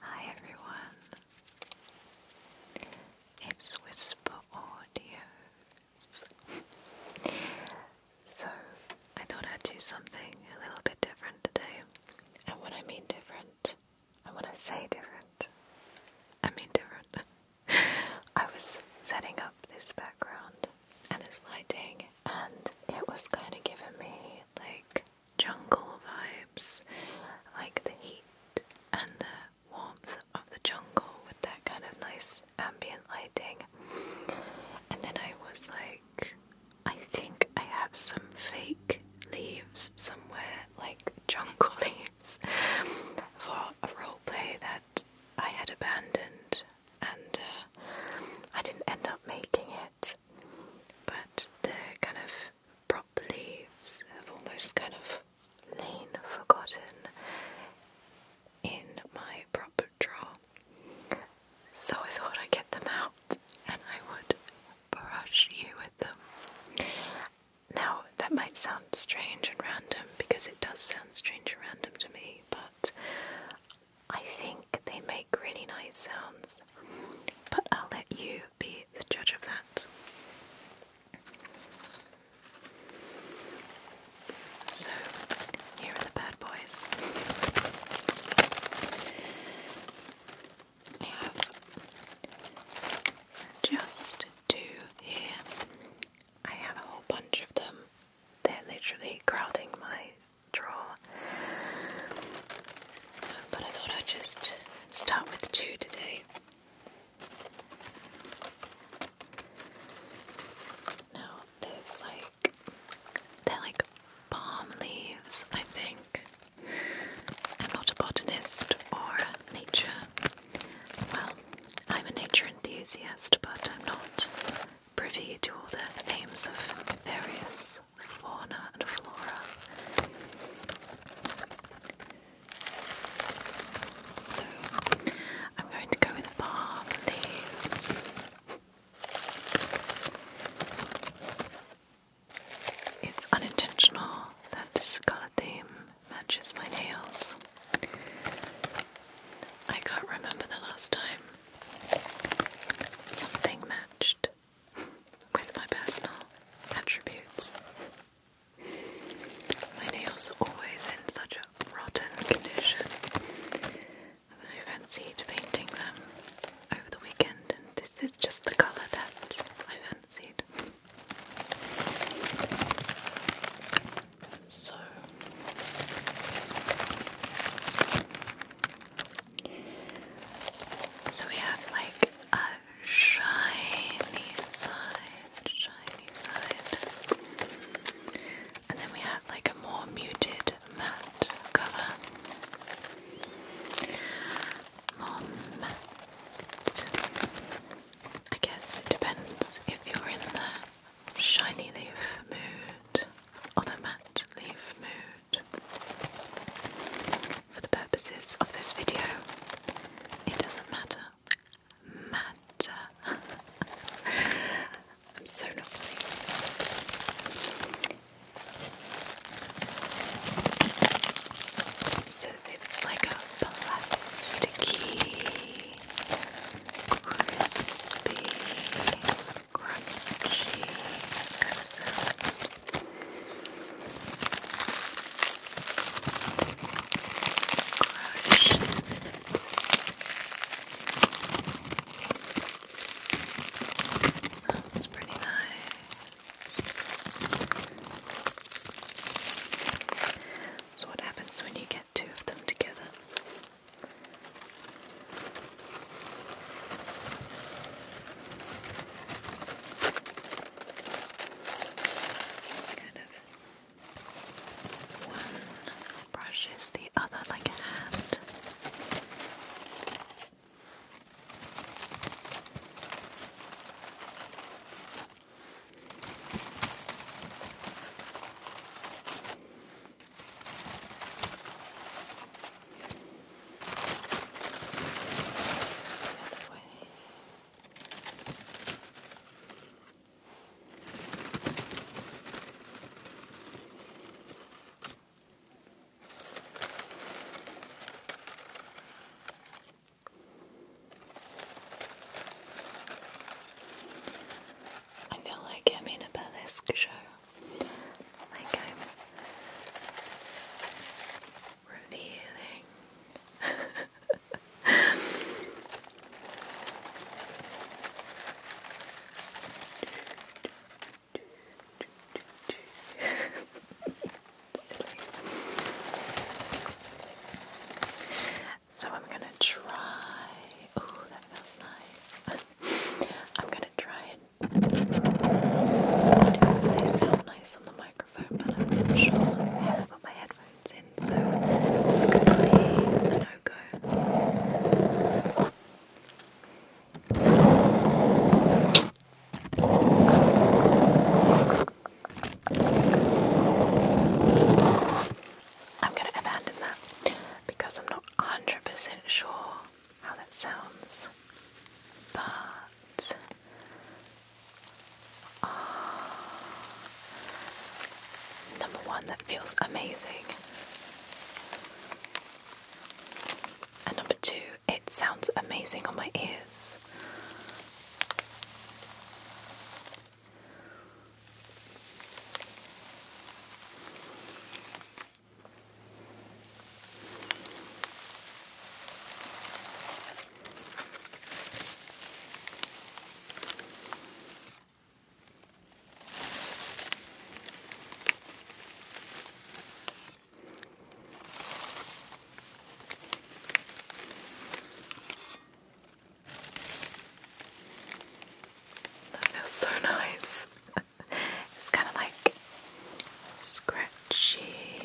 Hi everyone, it's Whisper Audios. so, I thought I'd do something a little bit different today. And when I mean different, I wanna say different, I mean different. I was setting up this background and this lighting, and it was kind of giving me like jungle vibes, like the heat and the warmth of the jungle with that kind of nice ambient lighting. And then I was like, I think I have some fake leaves somewhere, like jungle leaves, for a role play that I had abandoned, and uh, I didn't end up making it but they're kind of prop almost kind of lain forgotten in my prop drawer. So I thought I'd get them out and I would brush you with them. Now that might sound strange and random because it does sound strange and random to me, but I think they make really nice sounds but I'll let you be the judge of that. So, here are the bad boys. I have just two here. I have a whole bunch of them. They're literally crowding my draw. But I thought I'd just start with two today. Now there's like they're like palm leaves, I think. I'm not a botanist or a nature. Well, I'm a nature enthusiast, but I'm not privy to all the names of various fauna and flora. So I'm going to go with palm leaves. It's unintentional that this colour theme matches my nails. I can't remember the last time something matched with my personal attributes. My nails are always in such a rotten condition I fancied painting them over the weekend, and this is just the colour that I fancied. So, so we have like a shiny side, shiny side. And then we have like a more muted matte colour. matte. I guess it depends if you're in the shiny leaf mood or the matte leaf mood. For the purposes of this video, it doesn't matter. Matter. I'm so not So it's like a plasticky, crispy crunchy kind of sound. it. That's pretty nice. So what happens when you get two of them together? Kind of one brushes the other like a hand. I feel like I'm in a burlesque show. Like I'm revealing. so I'm gonna try. Oh, that feels nice. I'm gonna try and they sound nice on the microphone, but I'm not sure. I haven't got my headphones in, so this could no-go. I'm going to abandon that because I'm not 100% sure how that sounds, but ah, number one, that feels amazing, and number two, it sounds amazing on my ears. That is so nice it's kind of like scratchy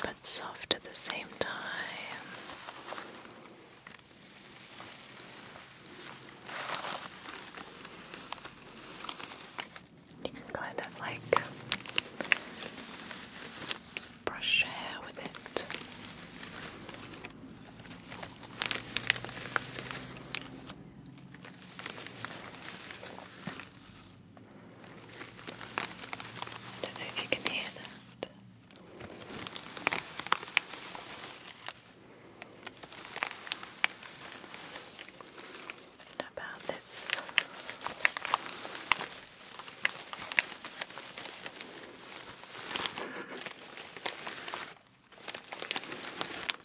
but soft at the same time. You can kind of like brush hair with it. I don't know if you can hear that. about this.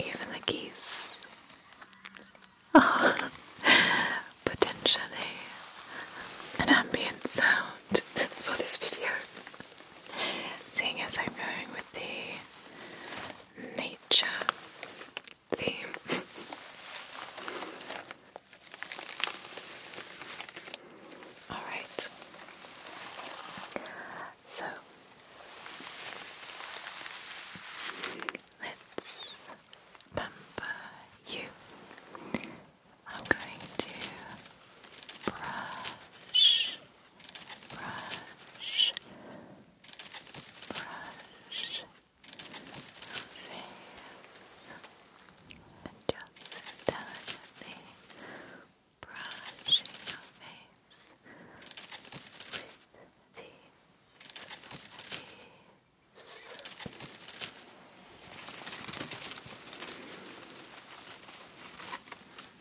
Even the geese. Oh, potentially an ambient sound for this video. Seeing as I'm going with the nature theme. Alright. So let's remember you. I'm going to brush brush, brush your face, and just delicately brushing your face with these leaves.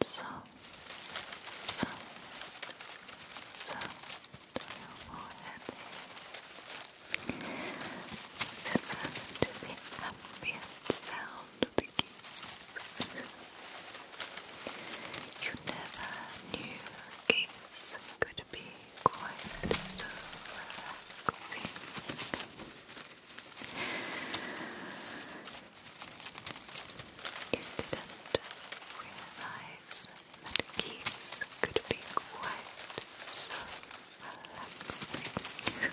It's so, so, so Listen to the ambient sound of the geese. You never knew geese could be quite so relaxing. You didn't realize that keys could be quite so relaxing.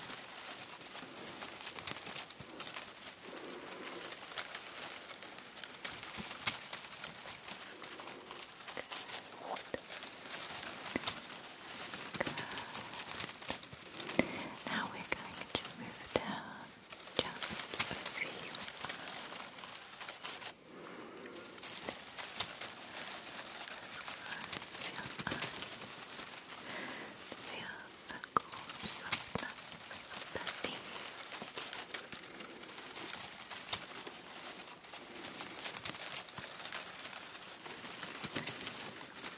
Now we're going to move down just over your eyes. Close Feel the cool of the leaves.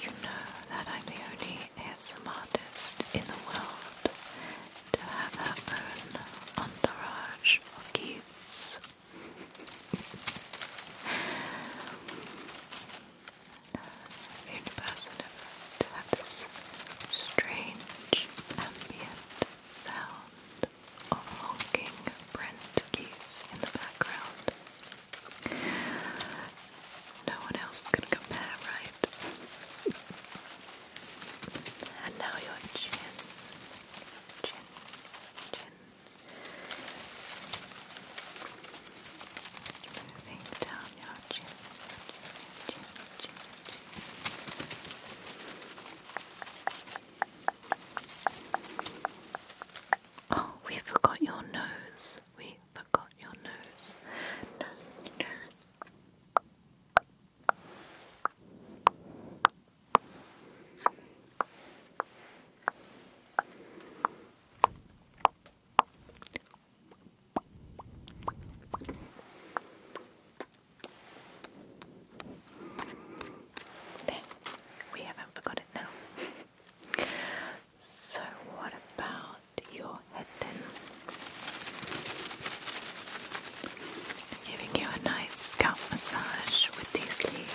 You know that I'm the only handsome artist in the world to have her own entourage of to have this strange ambient sound of honking Brent geese in the background. No one else could compare, right? And now your chin, chin, chin. Moving down your chin, chin, chin, chin. Oh, we forgot your nose. We forgot your nose we haven't forgot it now. so, what about your head then? Giving you a nice scalp massage with these leaves.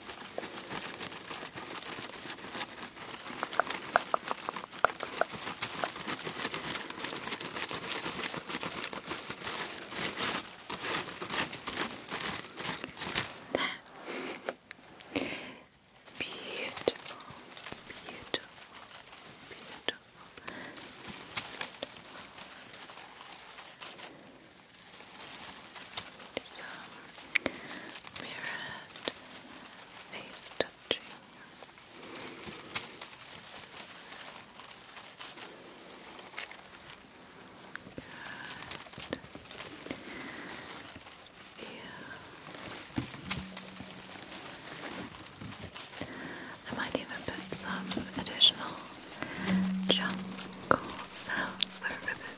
beautiful, beautiful, beautiful is um, face touching. Good. Yeah. I might even put some additional jungle sounds over this.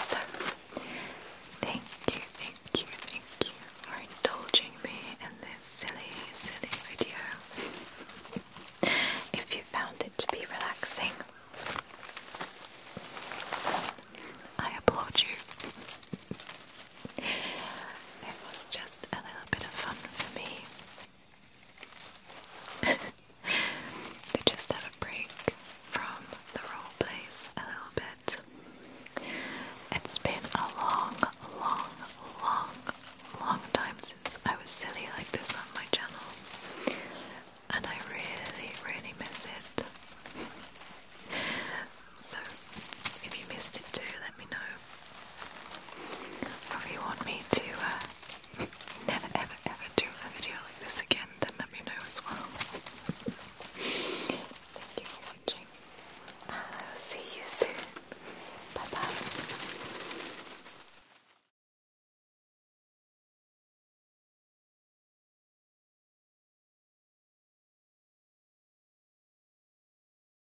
So, thank you, thank you, thank you for indulging me in this silly, silly video. if you found it to be relaxing, I applaud you. It was just a little bit of fun for me just a break from the role a little bit. It's been a long, long, long, long time since I was silly like this on my channel, and I really, really miss it. So, if you missed it too, let me know if you want me to uh, never ever ever do a video like this again, then let me know as well. Thank you for watching. I'll see you soon. Bye bye.